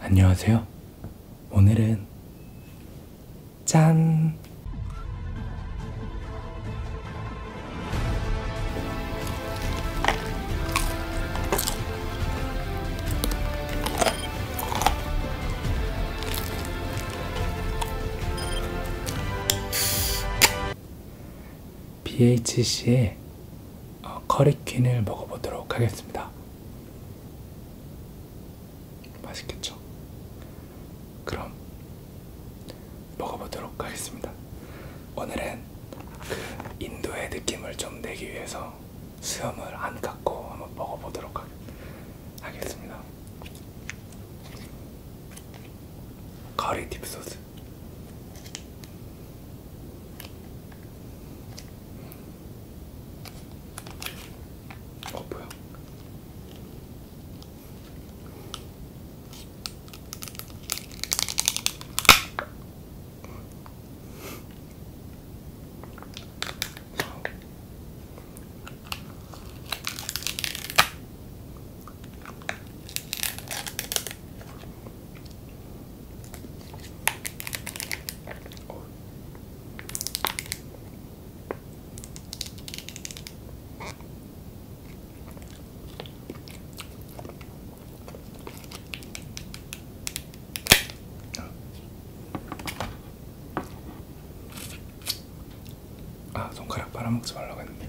안녕하세요. 오늘은 짠! BHC의 어, 커리퀸을 먹어보도록 하겠습니다. 맛있겠죠? 그럼 먹어보도록 하겠습니다. 오늘은 그 인도의 느낌을 좀 내기 위해서 수염을 안 깎고 한번 먹어보도록 하겠습니다. 가리 딥소스. 어 뭐야? 아 손가락 빨아먹지 말라고 했는데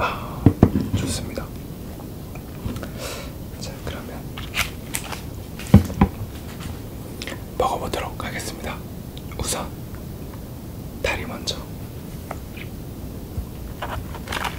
아, 좋습니다. 자, 그러면 먹어보도록 하겠습니다. 우선 다리 먼저.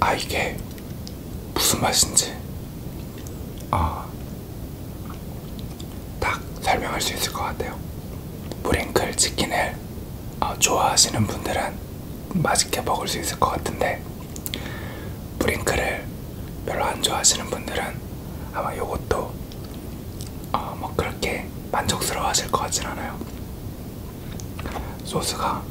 아 이게 무슨 맛인지 아, 딱 설명할 수 있을 것 같아요. 브링클 치킨을 어, 좋아하시는 분들은 맛있게 먹을 수 있을 것 같은데 브링크를 별로 안 좋아하시는 분들은 아마 요것도 어, 뭐 그렇게 만족스러워 하실 것 같진 않아요. 소스가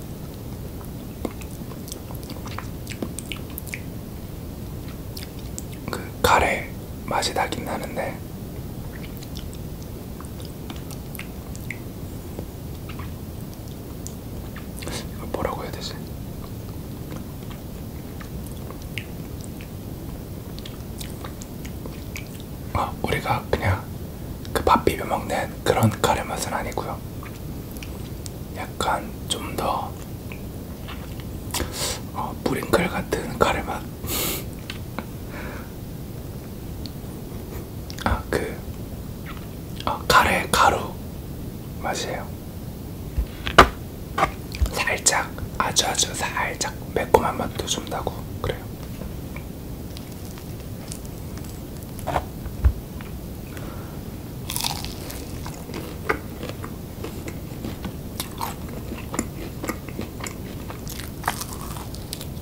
그 카레 맛이 나긴 나는데 뭐라고 해야 되지? 아, 우리가 그냥 그 밥 비벼 먹는 그런 카레 맛은 아니고요. 약간 좀 더 어, 뿌링클 같은 카레 맛. 아, 그, 아, 카레 가루 맛이에요. 살짝, 아주 아주 살짝 매콤한 맛도 좀 나고, 그래요.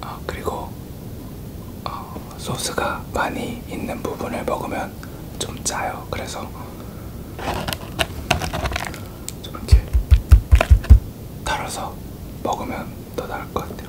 아, 그리고 어, 소스가 많이 있는 부분을 먹으면 좀 짜요. 그래서 좀 이렇게 달아서 먹으면 더 나을 것 같아요.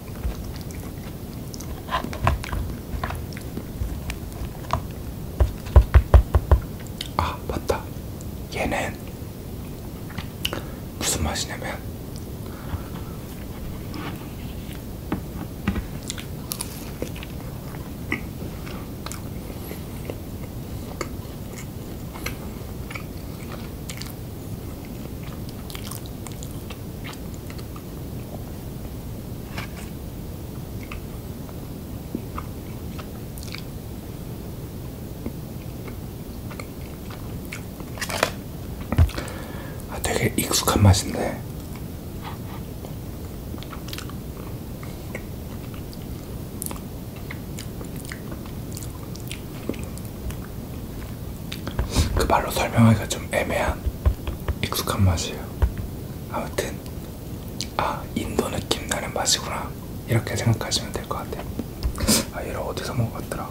아 맞다 얘는 무슨 맛이냐면 아, 되게 익숙한 맛인데 그 말로 설명하기가 좀 애매한 익숙한 맛이에요. 아무튼 아 인도 느낌 나는 맛이구나 이렇게 생각하시면 될 것 같아요. 아 얘를 어디서 먹었더라?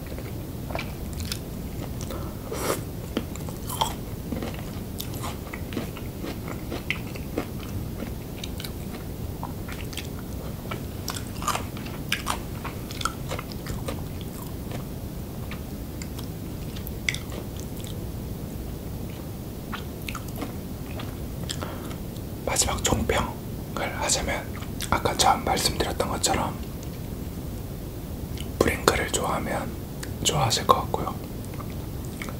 마지막 종평 설명을 하자면 아까 처음 말씀드렸던 것처럼 브링크를 좋아하면 좋아하실 것 같고요.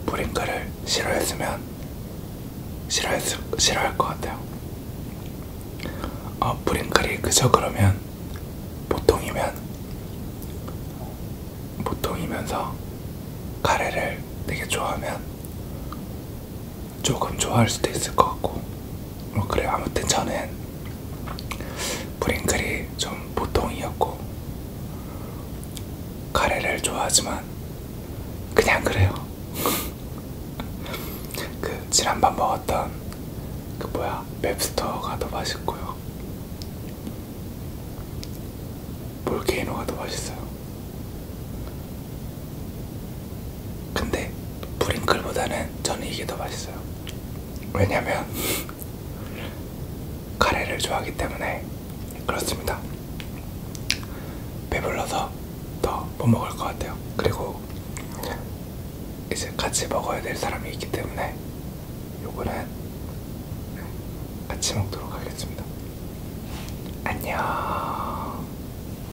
브링크를 싫어했으면 싫어했, 싫어할 것 같아요. 어, 브링클이 그저 그러면 보통이면 보통이면서 카레를 되게 좋아하면 조금 좋아할 수도 있을 것 같고 뭐 그래 아무튼 저는 브링클이 좀 보통이었고 카레를 좋아하지만 그냥 그래요 그 지난번 먹었던 그 뭐야 맵스터가 더 맛있고요 몰케이노가 더 맛있어요 근데 브링클보다는 저는 이게 더 맛있어요. 왜냐면 카레를 좋아하기 때문에 그렇습니다. 배불러서 더 못 먹을 것 같아요. 그리고 이제 같이 먹어야 될 사람이 있기 때문에 요거는 같이 먹도록 하겠습니다. 안녕.